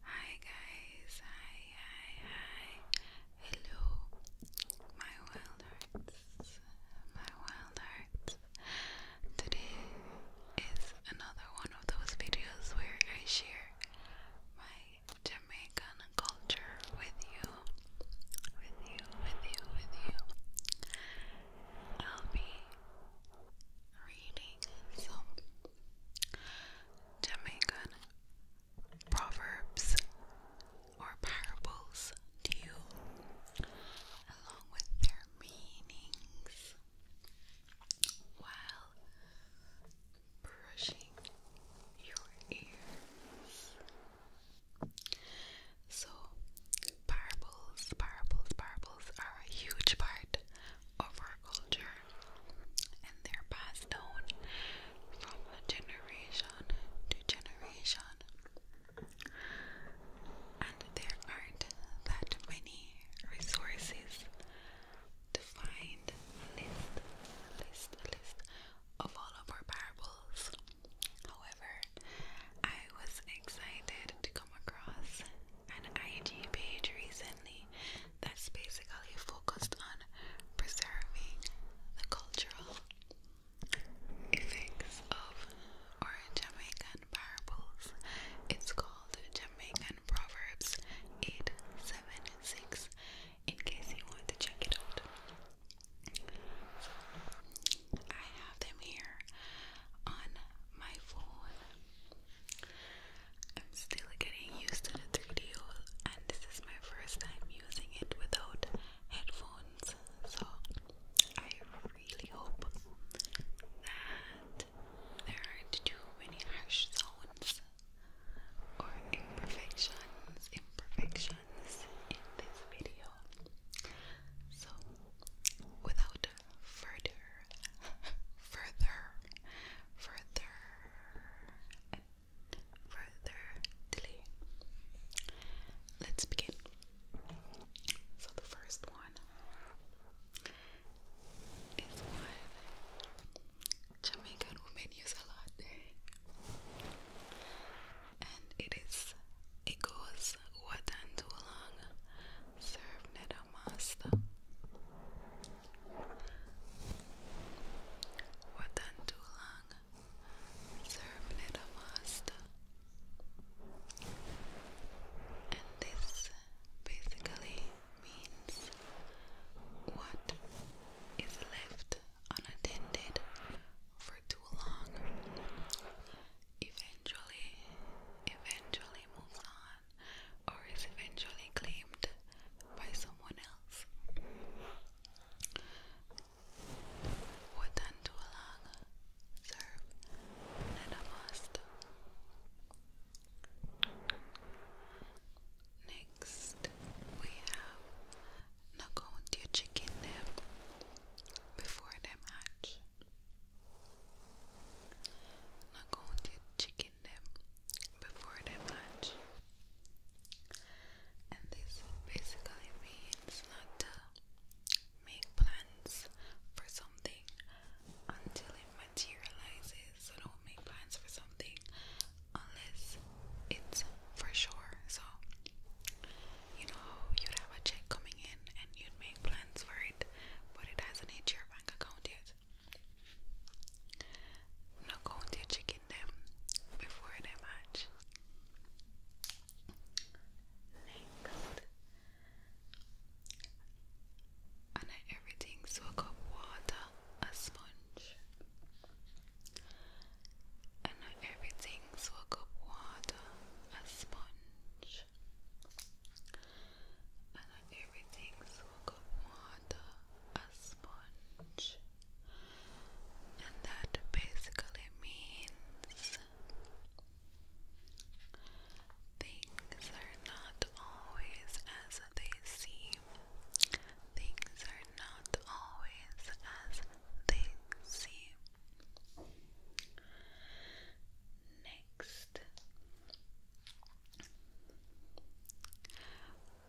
Hi guys, hi, hi, hi, hello, my wild hearts, my wild hearts. Today is another one of those videos where I share my Jamaican culture with you, with you, with you, with you. I'll be reading so Jamaican proverbs or parables to you along with their meanings while brushing your ears. So, parables, parables, parables are a huge part of our culture and they're passed down from generation to generation. And there aren't that many resources to find list, list, list of all of our parables. However, I was excited to come across an IG page recently that's basically focused on preserving the cultural effects of our Jamaican parables. It's called Jamaican Proverbs 876 in case you want to check it out. I have them here on my phone. I'm still getting used to the 3D and this is my first time using it without headphones. So I really hope that there aren't too many harsh sounds or imperfections, imperfections in this video. So without further, further, further, further. Let's begin. So the first one is one Jamaican women use a lot, and it is. It goes what and too long. Serve Watantulang Servnedamasta and this basically means what is left unattended for too long eventually eventually moves on or is eventually claimed by someone else. Would Tulang serve Neda Master? Next, we have Nakonti chicken them before them hatch. Nakonti chicken skinned them before the match. And this basically means not to make plans for something until it materializes. So don't make plans for something unless it's for sure. So you know you'd have a check coming in and you'd make plans for it, but it hasn't hit your bank account yet. I'm not going to chicken them before they match. Next, and everything soak up water, a sponge. And everything soak up water, a sponge and then everything's full water, a sponge, and that basically means things are not always as they seem. Things are not always as they seem. Next,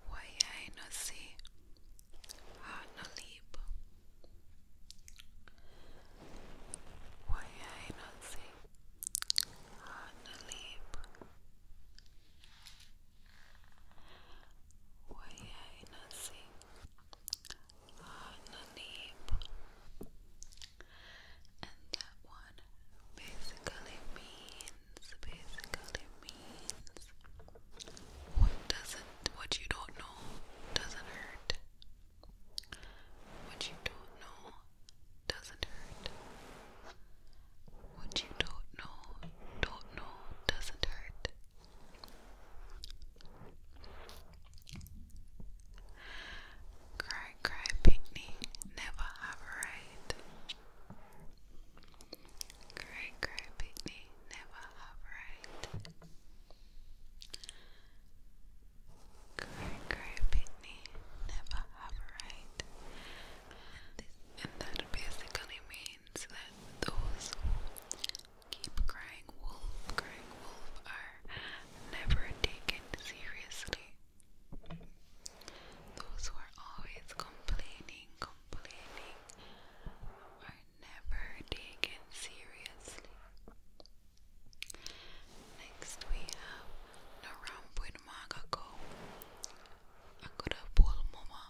Wayai no si ha no libo. Wayai no si ha no libo. Wayai no si ha no libo and that one basically means basically means what doesn't what you don't know doesn't hurt. What you don't know doesn't hurt. What you don't know, don't know doesn't hurt. Cry, cry, picnic, never have a right. Cry, cry, picnic, never have a right. Cry, cry, picnic, never have a right. And that basically means that those who keep crying wolf, crying wolf are never taken seriously. Those who are always complaining, complaining, are never taken seriously. Next, we have Narampwin Magako, Mama.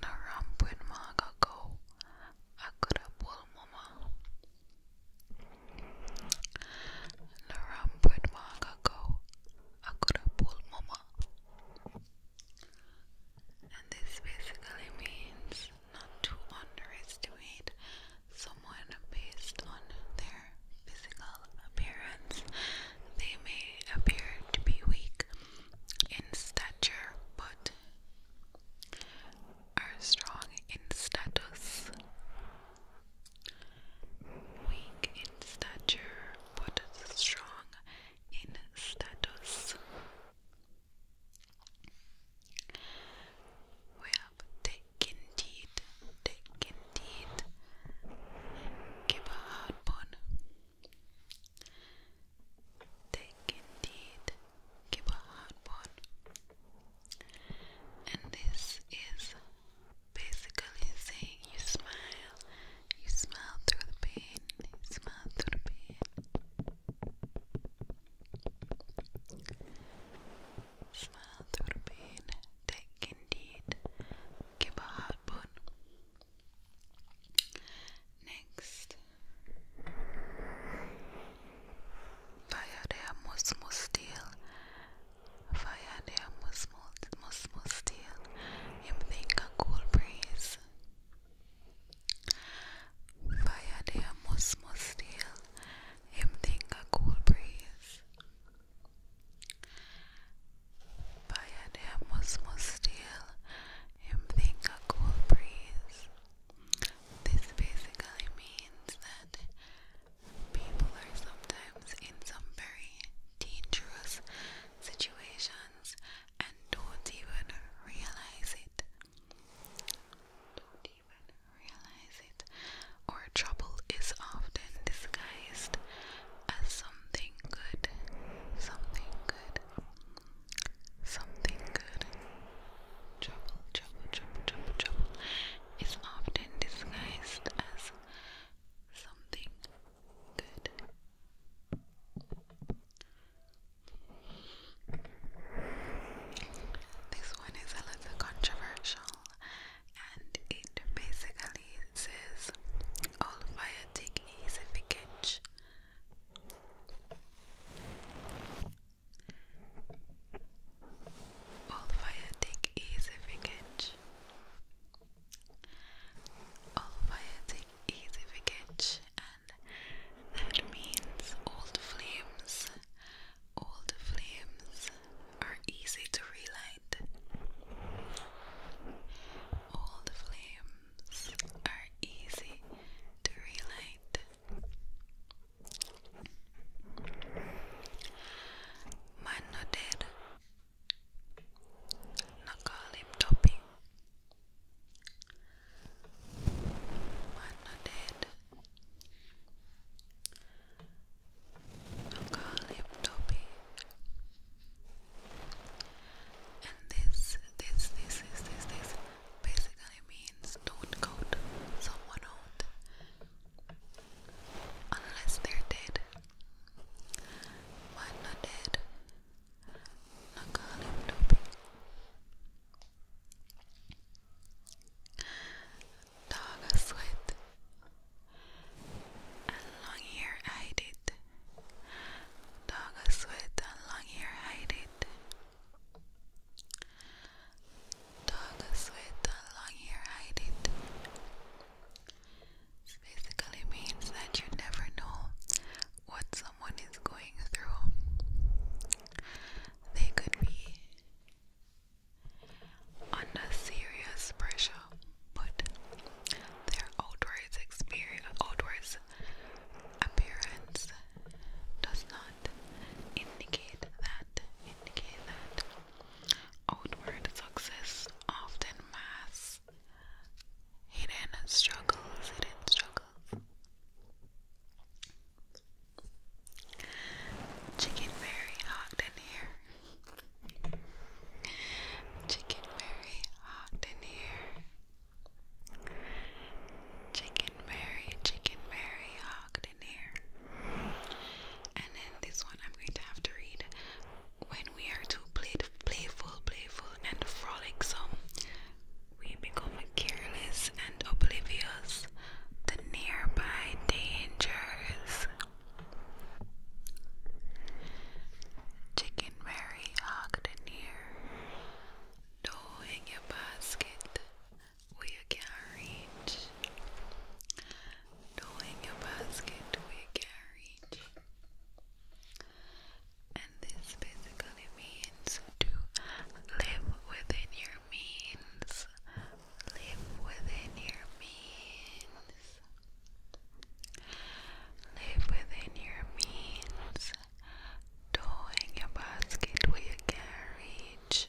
Narampwin Magako, Mama. Narambud Magago Akurapul Mama. And this basically means not to underestimate someone based on their physical appearance. They may appear to be weak in stature but are strong in status. Weak in stature, but strong in status. We have taken teeth, taken teeth, give a hard bun. Taken teeth, give a hard bun and this is basically saying you smile, you smile through the pain, you smile through the pain, smile through the pain, take indeed, give a hard Next, via their Musmus deal, via their Musmus deal, him think a cool breeze. Via their Musmus deal, him think a cool breeze. Via their Musmus deal, him think a cool breeze. This basically means that People are sometimes in some very dangerous situations and don't even realize it. Don't even realize it. Or trouble is often disguised as something good. Something good. Something good. Trouble, trouble, trouble, trouble, is often disguised as something good. This one is a little controversial and it basically says all fire take easy to all fire take easy wickage. All fire take easy wickage, and that means old flames. Old flames are easy to relight. Old flames are easy to relight. Man nodded. Nakali topping. Man nodded. Nakali topping. And this, this, this, this, this, this basically means don't count someone out Unless they're dead. Why not dead? Not gonna live Dog a sweat long hair hide it. Dog a long hair hide Dogs with long hair hide it. basically means that you never know what someone is going through. They could be under serious pressure, but their outward appearance does not indicate that, indicate that. Outward success often masks hidden struggles, hidden struggles. Chicken Mary hot in here. Chicken Mary hot in here. Chicken Mary. chicken very hot and then this one I'm going to have to read. When we are too playful, playful, and frolicsome, we become careless and oblivious to nearby dangers. Chicken Mary hogged near, dough in your basket, we carried doing a basket we carried and this basically means to live within your means live within your means live within your means Tow in your basket where you can't reach.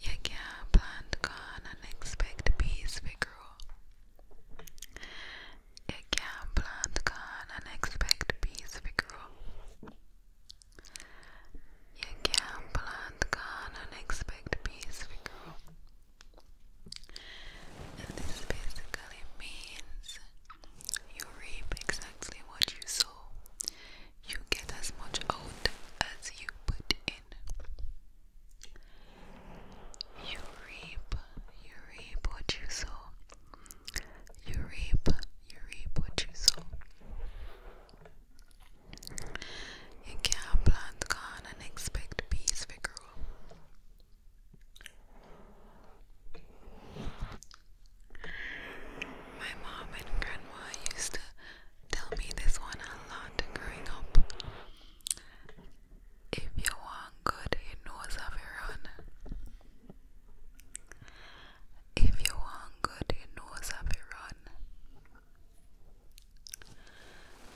You can't plant corn and expect peace to grow. You can't plant corn and expect peace to grow. You can't plant corn and expect peace to grow. this basically means you reap exactly what you sow you get as much out as you put in. You reap, you reap what you sow. You reap, you reap what you sow. You can plant corn and expect peace to grow. My mom and grandma used to tell me this one a lot growing up. If you want good, you knows of your own. If you want good, you knows of your own.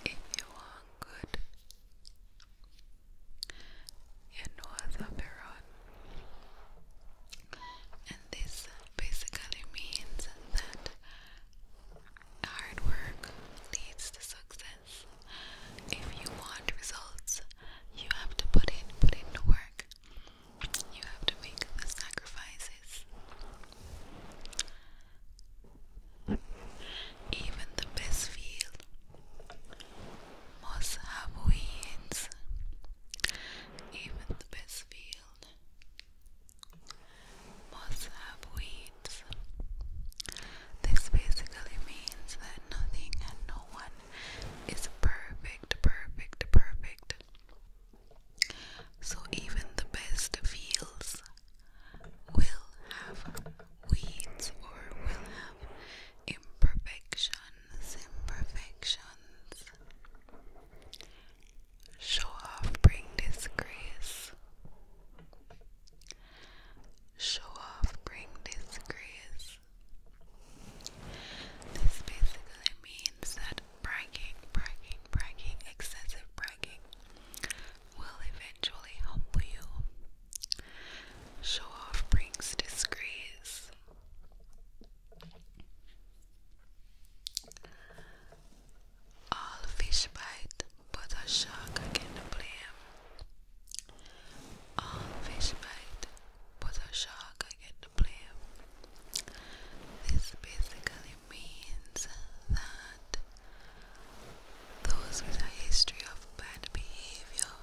If you want good, you knows of your own this basically means that hard work leads to success. If you want results, you have to put in put in the work. You have to make the sacrifices. Even the best field must have weeds even the best field must have weeds. This basically means that nothing no one is perfect, perfect, perfect. So even the best fields will have weeds or will have imperfection. Show off, bring disgrace. Show off, bring disgrace. This basically means that bragging, bragging, bragging, excessive bragging will eventually humble you. Show off brings disgrace. All fish bite, but a shark cannot blame. All fish bite, but a shark cannot blame. This basically means that those with a history of bad behavior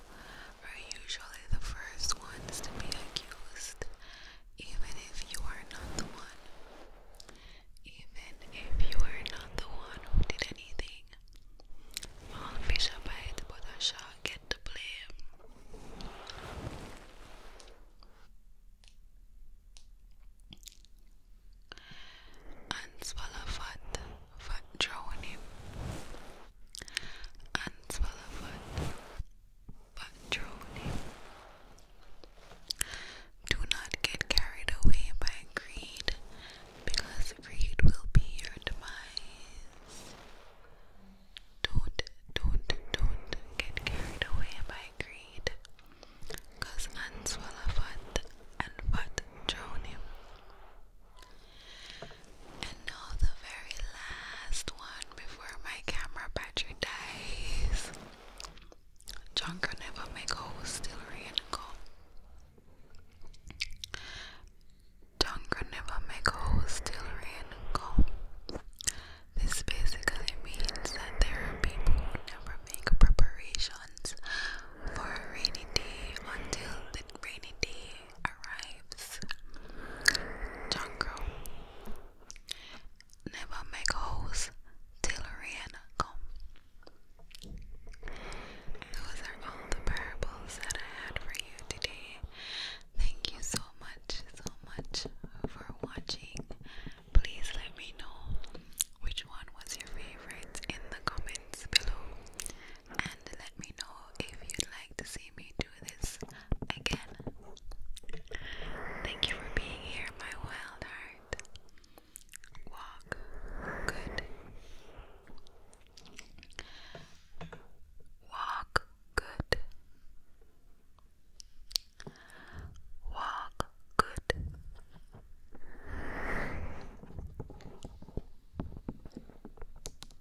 are usually the first ones to be accused, even if you are not the one. Even if you are not the one who did anything, all Fishabite Bodasha get the blame. And Swalafat fat patrolling. Do not get carried away by greed, because greed will be your demise. Don't, don't, don't get carried away by greed, because answala fat and fat drown him. And now the very last one before my camera battery dies. John never make whole still go. John never make whole still go. This basically means that there are people who never make preparations for a rainy day until the rainy day arrives. Jungle. Never make holes till Rihanna Those are all the parables that I had for you today. Thank you so much, so much for watching. Please let me know which one was your favorite in the comments below and let me know if you'd like to see me do this again. Thank you for being here, my wild heart. Walk good. Walk good. Walk good.